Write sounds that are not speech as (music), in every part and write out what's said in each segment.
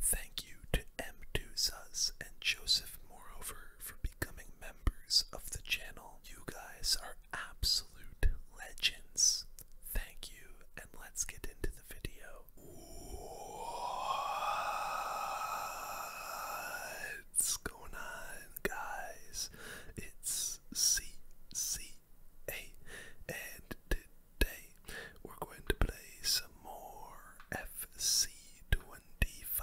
Thank you to m 2 and Joseph Moreover for becoming members of the channel. You guys are absolute legends. Thank you, and let's get into the video. What's going on, guys? It's CCA, and today we're going to play some more FC25.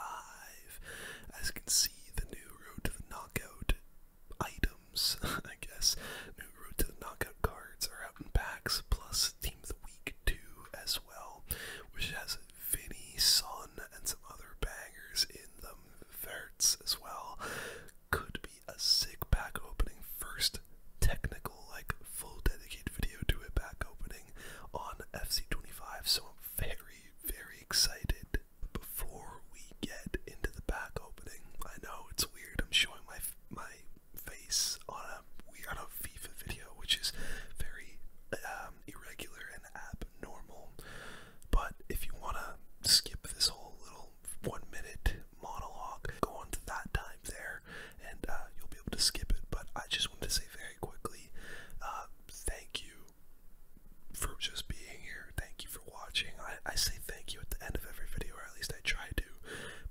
As you can see, the new Road to the Knockout items, (laughs) I guess, new Road to the Knockout cards are out in packs, plus Team of the Week 2 as well, which has Vinny, Sun and some other bangers in them, Verts as well. Could be a sick pack opening first technical, like full dedicated video to a back opening on FC25, so I'm very, very excited. before we get into the back opening, I know it's weird. I'm showing my my face on a on a FIFA video, which is very um, irregular and abnormal. But if you wanna skip this whole little one minute monologue, go on to that time there, and uh, you'll be able to skip it. But I just wanted to say very quickly, uh, thank you for just being here. Thank you for watching. I, say thank you at the end of every video, or at least I try to,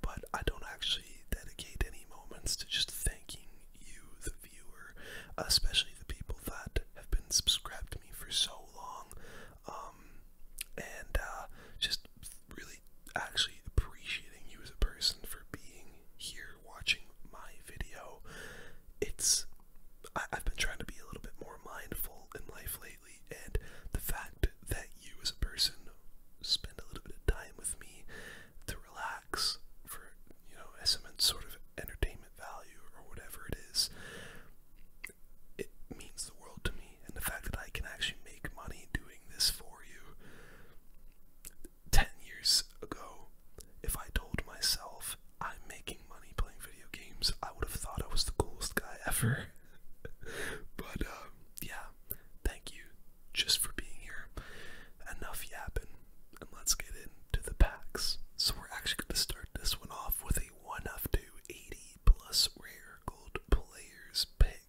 but I don't actually dedicate any moments to just thanking you, the viewer, especially the people that have been subscribed to me for so long. Um, and uh, just really actually appreciating you as a person for being here watching my video. It's I, have been trying to be a little bit more mindful in life lately, and the fact that you as a person spend a little bit of time with me to relax for you know as some sort of entertainment value or whatever it is. It means the world to me, and the fact that I can actually make money doing this for you 10 years ago, if I told myself I'm making money playing video games, I would have thought I was the coolest guy ever. (laughs) but, um, yeah, thank you just for being here. Enough yapping, and let's get into the packs. So, we're actually going to start this one off with a 1 of 280 plus rare gold players pick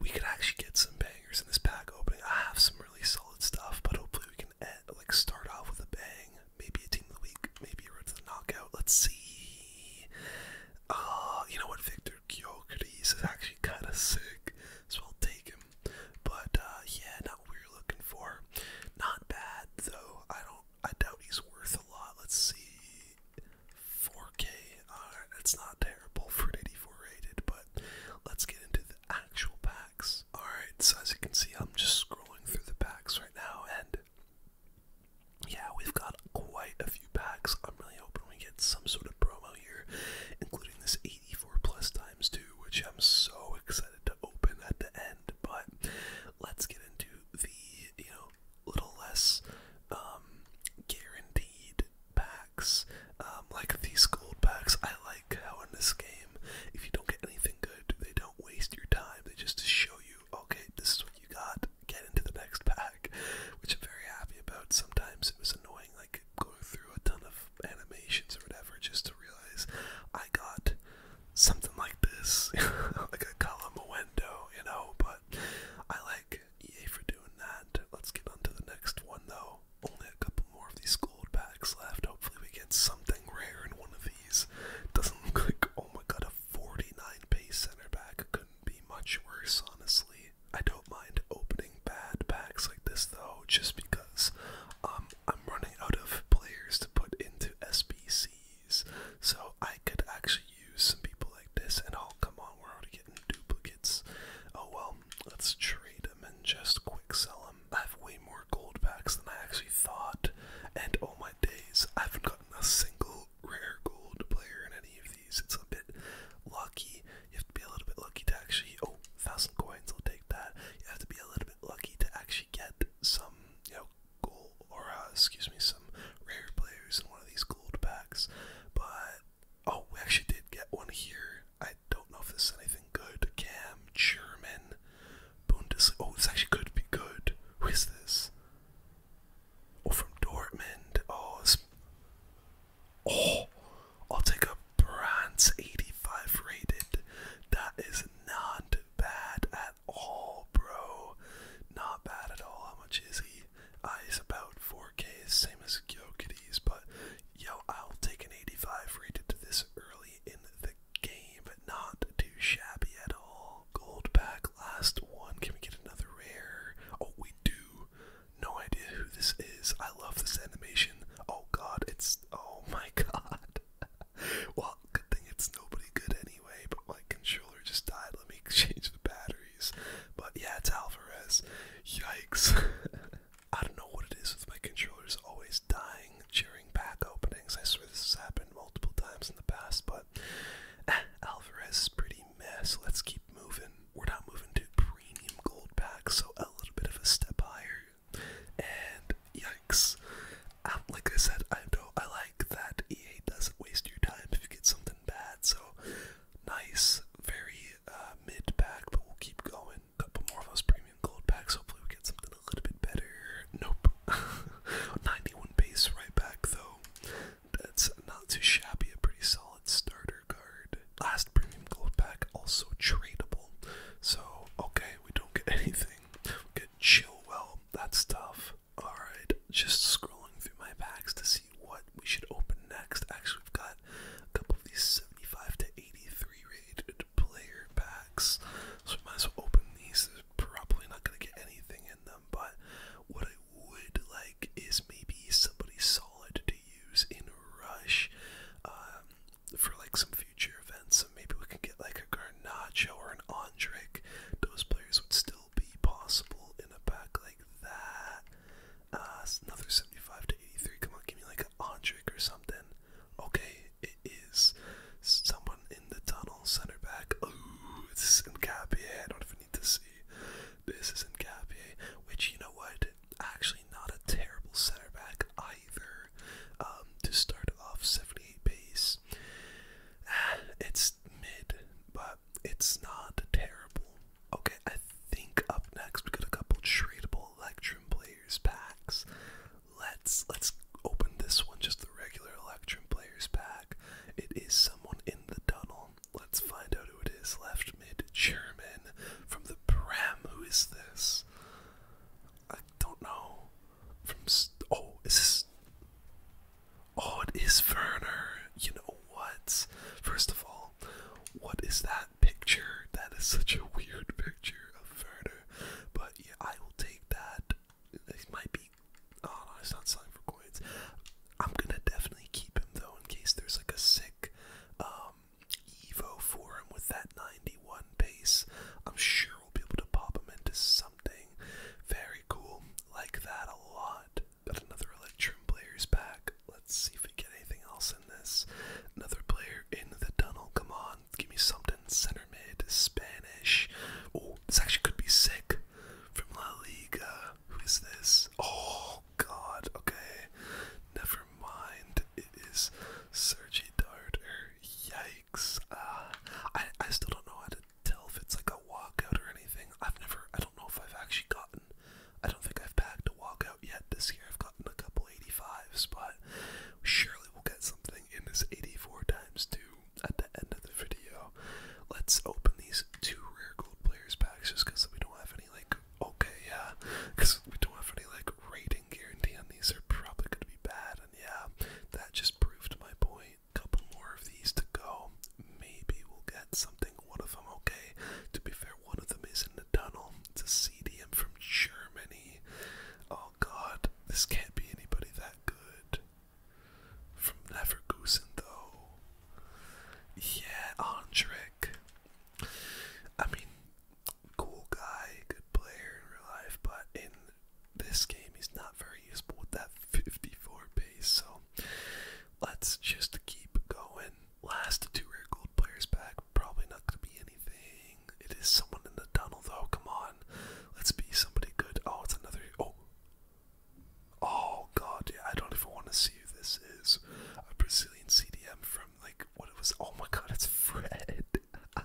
we could actually get some bangers in this pack opening. I have some really solid stuff, but hopefully we can like start off with a bang. Maybe a team of the week, maybe a road to the knockout. Let's see. Uh, you know what? Victor Kyokris is actually kind of sick, so I'll take him. But uh, yeah, not what we were looking for. Not bad though. I don't. I doubt he's worth a lot. Let's see. 4K. Alright, uh, it's not terrible for an 84 rated, but let's get into the actual packs. Alright, so as you can see, I'm just scrolling through the packs right now, and yeah, we've got quite a few packs. I'm really hoping we get some sort of promo here, including this 84 plus times 2, which I'm so excited to open at the end. But let's get into the, you know, little less um, guaranteed packs, um, like these gold packs. I like how in this game, if you don't get anything good, they don't waste your time. They just show you, okay, this is what you got. Get into the next pack, which I'm very happy about. Sometimes it was annoying, like going through a ton of animations or whatever, just to realize I got something like this, (laughs) like a column, window, you know. But I like week. for doing that. Let's get on to the next one, though. Only a couple more of these gold packs left. Hopefully, we get something rare in one of these. Doesn't look like, oh my god, a 49 base center back. Couldn't be much worse, honestly. I don't mind opening bad packs like this, though, just because um, I'm running out of players to put into SBCs. So I could actually use some people like this, and I'll come on, world again duplicates. Oh well, let's trade them and just quick sell them. I have way more gold packs than I actually thought, and all oh my days I haven't gotten a single rare gold player in any of these. It's a bit lucky. You have to be a little bit lucky to actually. Oh, thousand coins. I'll take that. You have to be a little bit lucky to actually get some, you know, gold or uh, excuse me, some rare players in one of these gold packs. But Oh, we actually did get one here. I don't know if this is anything good. Cam, German, Bundesliga. Oh, this actually could be good. Who is this? Oh, from Dortmund. Oh, this... oh, I'll take a bronze 85 rated. That is not bad at all, bro. Not bad at all. How much is he? uh, is about 4K, same as Kyokides, but yo, I'll take an 85 rated to this early in the game, but not too shabby at all. Gold back, last one. Can we get another rare? Oh, we do. No idea who this is. I love this animation. Oh god, it's. Oh (laughs) my god. well, good thing it's nobody good anyway, but my controller just died. Let me exchange (laughs) the battery. But yeah, it's Alvarez. Yikes. (laughs) I don't know what it is with my controllers always dying during pack openings. I swear this has happened multiple times in the past, but eh, Alvarez is pretty mess. Let's keep moving. We're not moving to premium gold packs, so a little bit of a step higher. And yikes. Um, like I said, I don't I like that EA doesn't waste your time if you get something bad, so nice, very uh, mid pack, but we'll keep going. A couple more of those premium gold packs. Hopefully, we get something a little bit better. Nope. (laughs) 91 base right back, though. That's not too shabby. A pretty solid starter card. Last premium gold pack, also tradable. So, okay, we don't get (laughs) anything. We get Well, That's tough. Alright, just scrolling through my packs to see what we should open next. Actually, we've got a couple of these 75 to 83 rated player packs, so we might as well open these. There's probably not going to get anything in them, but what I would like is maybe somebody solid to use in Rush um, for like some future events. So maybe we can get like a Garnacho or an Andrick. Those players would still be possible in a pack like that. Uh, another 75 to 83. Come on, give me like a hundred or something. Okay, it is someone in the tunnel, center back. Oh, it's is I don't even need to see. This is Nkapié, which, you know what, actually not a terrible center back either. Um, to start off, 78 pace. Ah, it's mid, but it's not terrible. Okay, I think up next we got a couple tradable Electrum Players packs. Let's let's open this one, just the regular Electrum Players pack. It is someone in the tunnel. Let's find out who it is. Left mid German from the Prem. Who is this? I don't know. From oh, is this? Oh, it is Werner. You know what? First of all, what is that picture? That is such a weird picture of Werner. But yeah, I will take that. This might be. Oh no, it's not selling for coins. I'm gonna definitely keep him though in case there's like a sick um, Evo for him with that 91 pace. I'm sure we'll be able to pop him into something very cool. Like that a lot. Got another Electrum player's back. Let's see if we get anything else in this. Another player in the tunnel. Come on, give me something. Center mid, Spanish. Oh, this actually could be sick. From La Liga. Who is this? Oh, God. Okay. Never mind. It is Sergi Darter. Yikes. Uh, I, I still don't know how to tell if it's like a walkout or anything. I've never, I don't know if I've actually gotten I don't think I've packed a walkout yet this year. I've gotten a couple 85s, but surely we'll get something in this 84 times 2 at the end of the video. Let's open these two rare gold players packs just because we don't have any, like, okay, yeah, because we don't have any, like, rating guarantee on these. are probably going to be bad, and yeah, that just proved my point. Couple more of these to go. Maybe we'll get something. One of them, okay. To be fair, one of them is in the tunnel. It's a CDM from Germany. Oh god, this can't be anybody that good. From Leverkusen, though. Yeah, Andrik. I mean, cool guy, good player in real life, but in this game, he's not very useful with that 54 base so let's just keep going. Last two rare gold players back. Probably not going to be anything. It is someone in the tunnel, though. Come on. Let's be somebody good. Oh, it's another. Oh. Oh, God. Yeah, I don't even want to see who this is. A Brazilian CDM from, like, what it was. Oh, my God. It's Fred.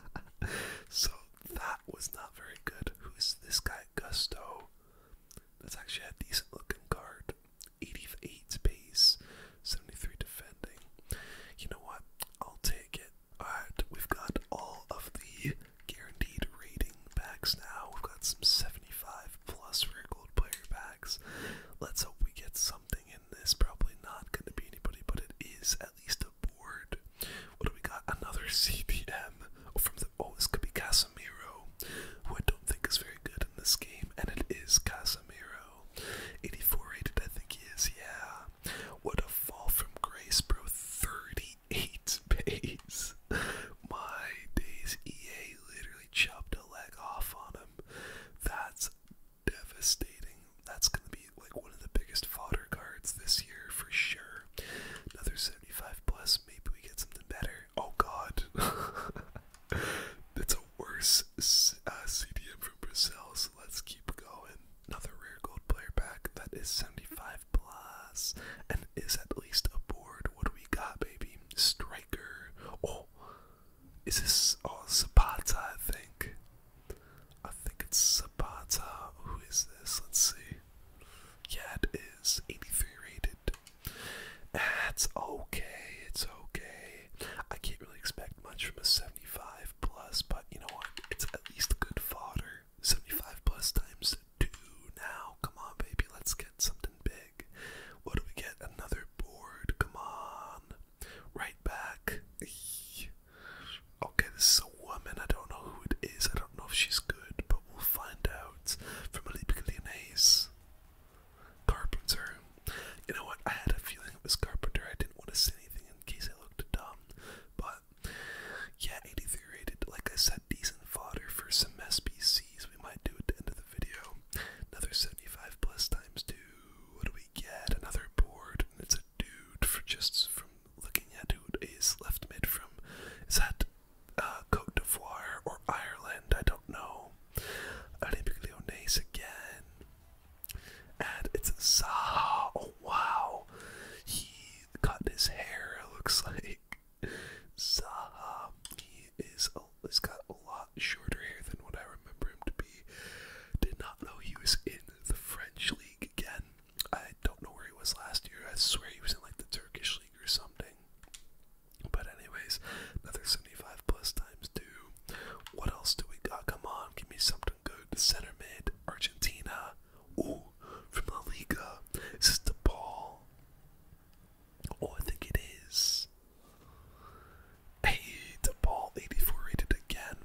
(laughs) so that was not very good. Who's this guy? Gusto. That's actually a decent looking card. 88 pace, 73 defending. You know what? I'll take it. Alright, we've got all of the guaranteed rating backs now. We've got some 75 plus rare gold player backs. Let's hope we get something in this. Probably not going to be anybody, but it is at least a board. What do we got? Another (laughs) CPM oh, from that, oh, this could be Casemiro, who I don't think is very good in this game, and it is Casemiro. 84 rated, I think he is, yeah. What a fall from grace, bro. 38 (laughs) pace. My days, EA literally chopped a leg off on him. That's devastating. That's going to be like one of the biggest fodder cards this year for sure. Another 75 plus, maybe we get something better. Oh god. (laughs) That's a worse uh, CDM from Brazil, so let's keep going. Another rare gold player pack that is 75 plus and is at least a board. What do we got, baby? Striker. Oh, is this oh, Zapata, I think. I think it's Zapata. Who is this? Let's see. Yeah, it is 83 rated. That's okay. It's okay. I can't really expect much from a 75 plus, but you know what? It's at least good fodder. 75 plus times 2 now. Come on, baby. Let's get something big. What do we get? Another board. Come on. Right back. Okay, this is a woman. I don't know who it is. I don't know if she's good, but we'll find out. From Olympic Lyonnaise. Carpenter. You know what? I had a feeling it was Carpenter. I didn't want to say anything in case I looked dumb. But yeah, 83 rated. Like I said, decent fodder for some SBCs. We might do at the end of the video. Another 75 plus times two. What do we get? Another board. And it's a dude for just from looking at who is left mid from. Is that uh, Cote d'Ivoire or Ireland, I don't know. Olympique Lyonnais again. And it's Zaha. Oh wow. He cut his hair, it looks (laughs) like. Zaha. He is he's got a lot shorter hair than what I remember him to be. Did not know he was in the French league again. I don't know where he was last year. I swear he was in like the Turkish league or something. But anyways, another 75 plus times two. What else do we got? Come on, give me something good. Center mid, Argentina. Ooh, from La Liga. Is this the ball? Oh, I think it is. Hey, the ball 84 rated again.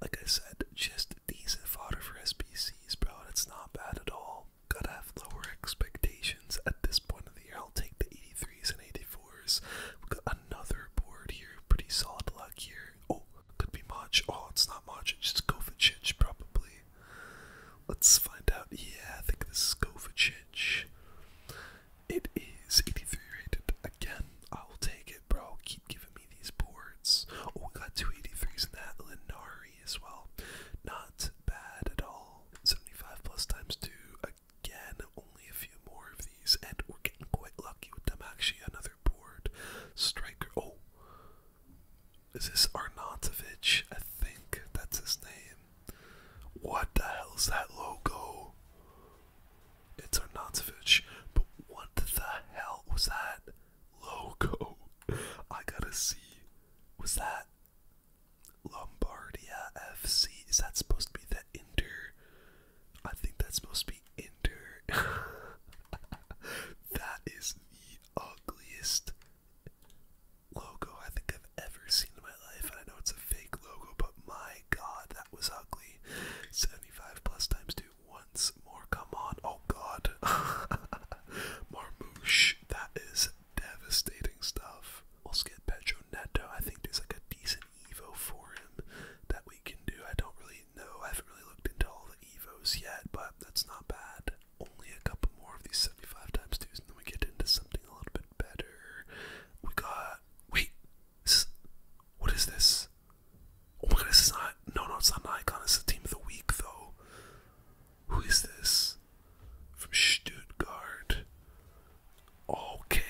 Like I said, just decent fodder for SPCs, bro. It's not bad at all. Gotta have lower expectations at this point of the year. I'll take the 83s and 84s. we got another board here. Pretty solid luck here. Oh, could be much. Oh, it's not much. It's just Kovacic, probably. Let's find out. Yeah, I think this is Kovacic. It is 83 rated. Again, I will take it, bro. Keep giving me these boards. Oh, we got two 83s in that. Linari as well. Not bad at all. 75 plus times 2, again, only a few more of these, and we're getting quite lucky with them. Actually, another board striker. Oh, is this Arnautovic? I think that's his name. What the hell's that logo? It's Arnautovic, but what the hell was that logo? (laughs) I gotta see. Was that Lombardia FC. Is that supposed to be the Inter? I think that's supposed to be Inter. (laughs) that is the ugliest logo I think I've ever seen in my life. And I know it's a fake logo, but my god, that was ugly. 75 plus times 2 once more. Come on. Oh god. (laughs) Marmouche. That is devastating stuff. Let's get Pedro Neto. I think there's like a decent Evo for him that we can do. I don't really know. I haven't really looked into all the Evos yet, but that's not bad. Only a couple more of these 75 times twos, and then we get into something a little bit better. We got. Wait! what is this? Oh my god, this is not. No, no, it's not an icon. It's the team of the week, though. Who is this? From Stuttgart. Okay,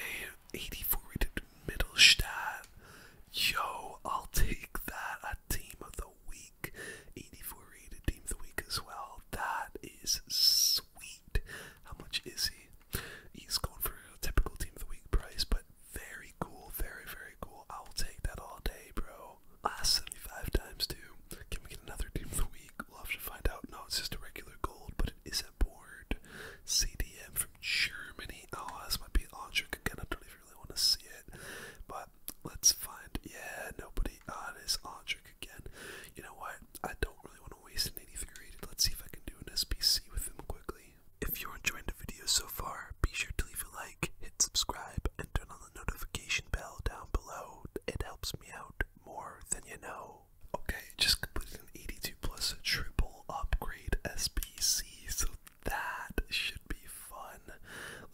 84 rated Middlestadt. Yo, I'll take that. A team of the week. 84 rated team of the week as well. That is sweet. How much is he? He's going for a typical team of the week price, but very cool. Very, very cool. I'll take that all day, bro. Last 75 times, too. Can we get another team of the week? We'll have to find out. No, it's just a regular gold, but it is a board. CDM from Germany. Oh, this might be Electric again. I don't even really want to see it. But let's find. Yeah, nobody. Ah, it is Electric again. You know what? I don't really want to waste an 83 Let's see if I can do an SPC with him quickly. If you're enjoying the video so far, be sure to leave a like, hit subscribe, and turn on the notification bell down below. It helps me out more than you know. Okay, just completed an 82 plus plus a triple upgrade SBC, so that should be fun.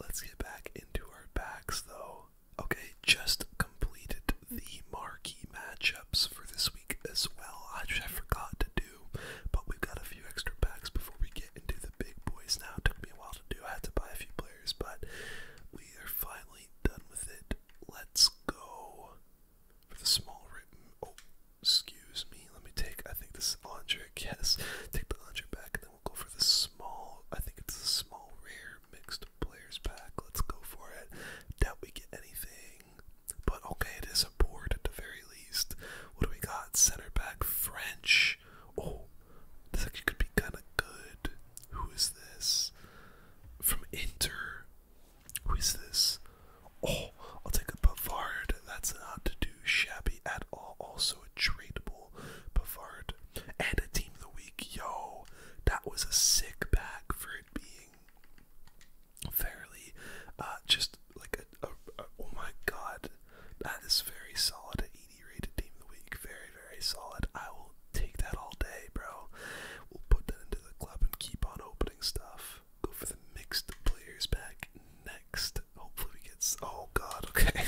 Let's get back into our backs though. Okay, just completed the marquee matchups for this week as well. I, just, forgot to do, but we've got a few extra packs before we get into the big boys now. It took me a while to do, I had to buy a few players, but we are finally finally done with it. Let's go for the small ribbon. Oh, excuse me. Let me take, I think this is Andre, (laughs) yes. Take the Andre back and then we'll go for the small, I think it's a small rare mixed players pack. Let's go for it. Doubt we get anything. But okay, it is a board at the very least. What do we got? Center back French. Oh, this actually could be kind of good. Who is this? From Inter. Who is this? Oh, I'll take a Pavard. That's not to do shabby at all. Also a tradable Pavard. And a team of the week. Yo, that was a sick bag for it being fairly uh, just like a, Oh my god. That is very solid 80 rated team of the week. Very, very solid. I will take that all day, bro. We'll put that into the club and keep on opening stuff. Go for the mixed players back next. Hopefully we get. Oh God. (laughs) Okay.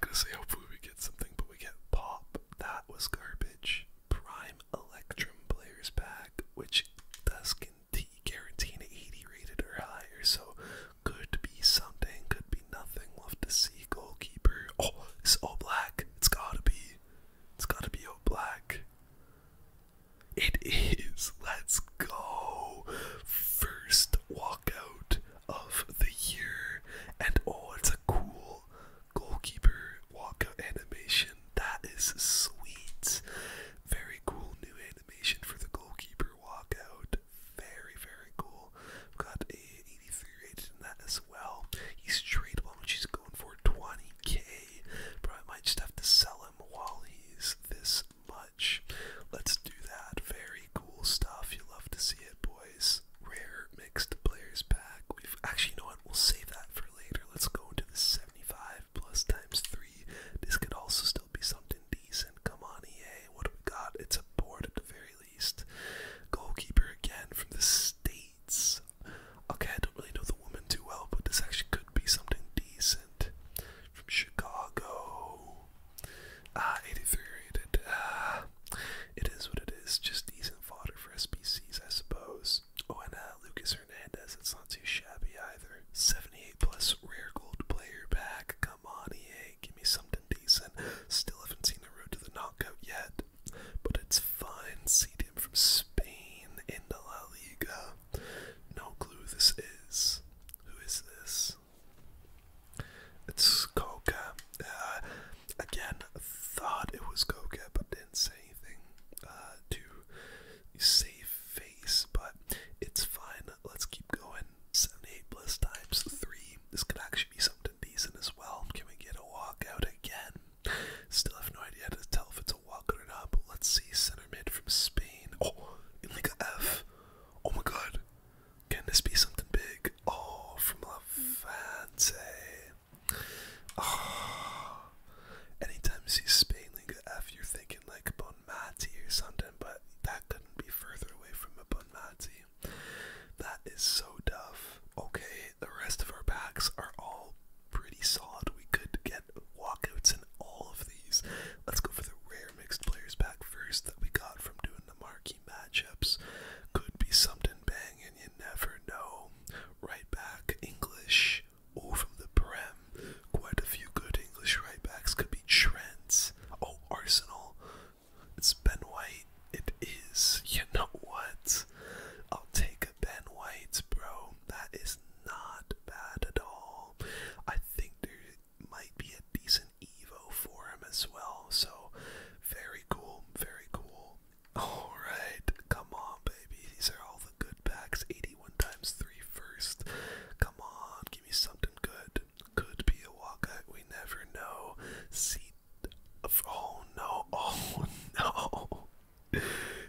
gonna say hopefully we get something, but we get pop. That was garbage. Prime Electrum players back, which does guarantee an 80 rated or higher. So could be something, could be nothing. Love to see goalkeeper. Oh, it's all black. It's gotta be. It's gotta be oat black. It is. Let's go. First walkout of the year. And oh, it's a cool goalkeeper walkout animation. That is sweet. Very cool new animation for the goalkeeper walkout. Very, very cool. We've got 83 rated in that as well. He's tradable which he's going for 20k. Probably might just have to sell him while he's this much. Let's do that. Very cool stuff. You love to see it, boys. Rare mixed players pack. We've actually, you know what? We'll save that for later. Let's go into the 75 plus times 3. This could also still be something decent. Come on, EA. What have we got? It's a board at the very least. Goalkeeper again from the States. Okay, I don't really know the woman too well, but this actually could be something decent. From Chicago. Ah, 83 rated. Ah, it is what it is. Just decent fodder for SBCs, I suppose. Oh, and uh, Lucas Hernandez. It's not too shabby either. 78 plus rare gold player back. Come on, EA. Give me something decent. Still haven't seen the road to the knockout yet but it's fine seeding from Spain in the La Liga. No clue this is. Who is this? It's Coca. Uh, again, thought it was Coca, but didn't say anything uh, to save face, but it's fine. Let's keep going. 78 plus times 3. This connection be something decent as well. Can we get a walk again? Still have no idea how to tell if it's a walk or not, let's see. Center mid from Spain. Oh, Liga F. Oh my god. Can this be something big? Oh, from fancy. Oh. Ah. Anytime you see Spain Liga F, you're thinking like Bonmati or something, but that couldn't be further away from a Bonmati. That is so tough. Okay, the rest of our packs are all pretty solid. We could get walkouts in all of these. Let's go for the rare mixed players pack first that we got from doing the marquee matchups. Could be something bang, and you never know. Right back, English. Oh, from the Prem. Quite a few good English right backs could be Trents. Oh, Arsenal. It's Ben White. It is. (laughs) You know what? I'll take a Ben White, bro. That is not bad at all. I think there might be a decent Evo for him as well. So, very cool. Very cool. Alright. Come on, baby. These are all the good packs. 81 times 3 first. Come on. Give me something good. Could be a walkout. We never know. See Oh no! Oh no!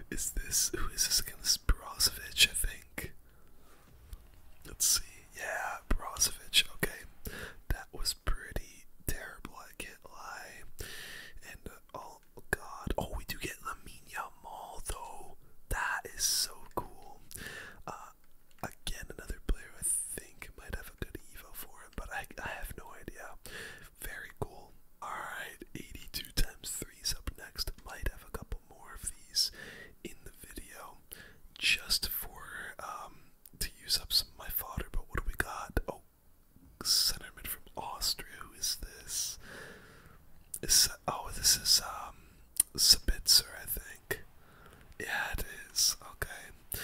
Is this who is this against Brozovic? I think. Let's see. Yeah, Brozovic. Okay, that was pretty terrible. I can't lie. And oh god! Oh, we do get Lamine Yamal though. That is so cool. Uh, again, another player I think might have a good Evo for him, but I, I have no idea. Very cool. Alright, 82 times 3 is up next. Might have a couple more of these in the video just for um, to use up some of my fodder, but what do we got? Oh, centerman from Austria. Who is this? Is, oh, this is um, Sabitzer, I think. Yeah, it is. Okay.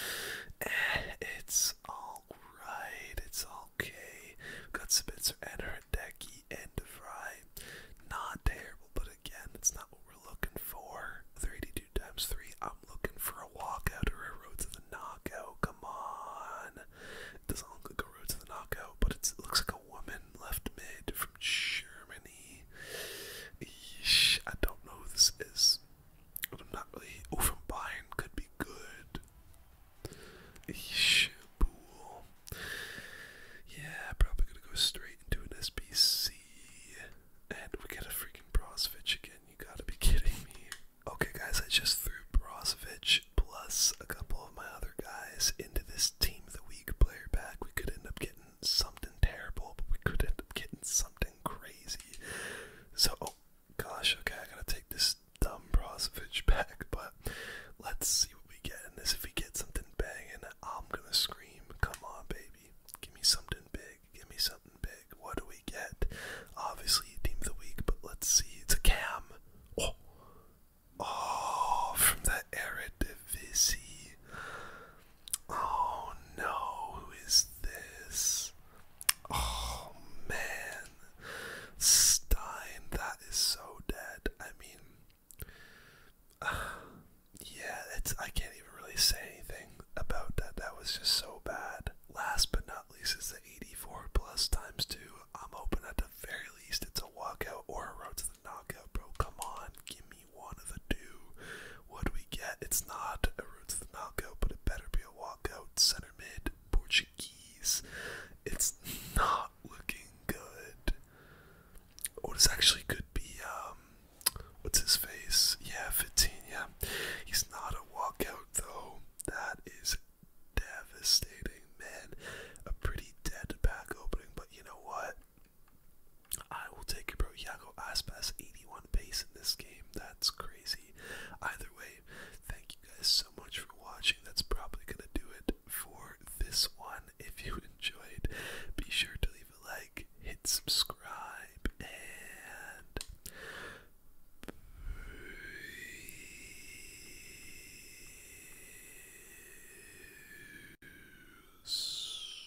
Eh, it's alright. It's okay. We've got Spencer and Hideki and DeVry. Not terrible, but again, it's not what we're looking for. 32 times 3. I'm looking for a walkout or a road to the knockout. Come on. It doesn't look like a road to the knockout, but it looks like a woman left mid from Germany. Eesh, I don't know who this is. I'm not really. Oh, from Bayern could be good. Eesh, pool. Yeah, probably gonna go straight into an SBC. And we get a freaking Brozovic again. You gotta be kidding me. Okay, guys, I just threw Brozovic plus a couple of my other guys into this team of the week player back. We could end up getting something terrible, but we could end up getting something crazy. So, oh, gosh, okay, I gotta take this dumb Brozovic (laughs) back, but let's see what we get in this. If we get something and I'm gonna scream, come on, baby, give me something big, give me something big. What do we get? Obviously, team of the week, but let's see. It's a cam. Oh, oh from the Eredivisie. Oh no, who is this? Oh man, Stein, that is so dead. I mean, (sighs) yeah, it's I can't even really say anything about that. That was just so bad. Last but not least it's the 84 plus times two. I'm open at the very least it's a walkout or a road to the knockout, bro. Come on, give me one of the two. What do we get? It's not a Roots of the Malco, but it better be a walkout center mid Portuguese. It's not looking good. What is actually good? be, um, what's his face? Yeah, Vitinha. He's not a walkout though. That is devastating, man. A pretty dead back opening, but you know what? I will take it, bro. Iago Aspas, 80 81 base in this game. That's crazy. Either way, thank you guys so much for watching. That's probably going to do it for this one. If you (laughs) enjoyed, be sure to leave a like, hit subscribe, and peace.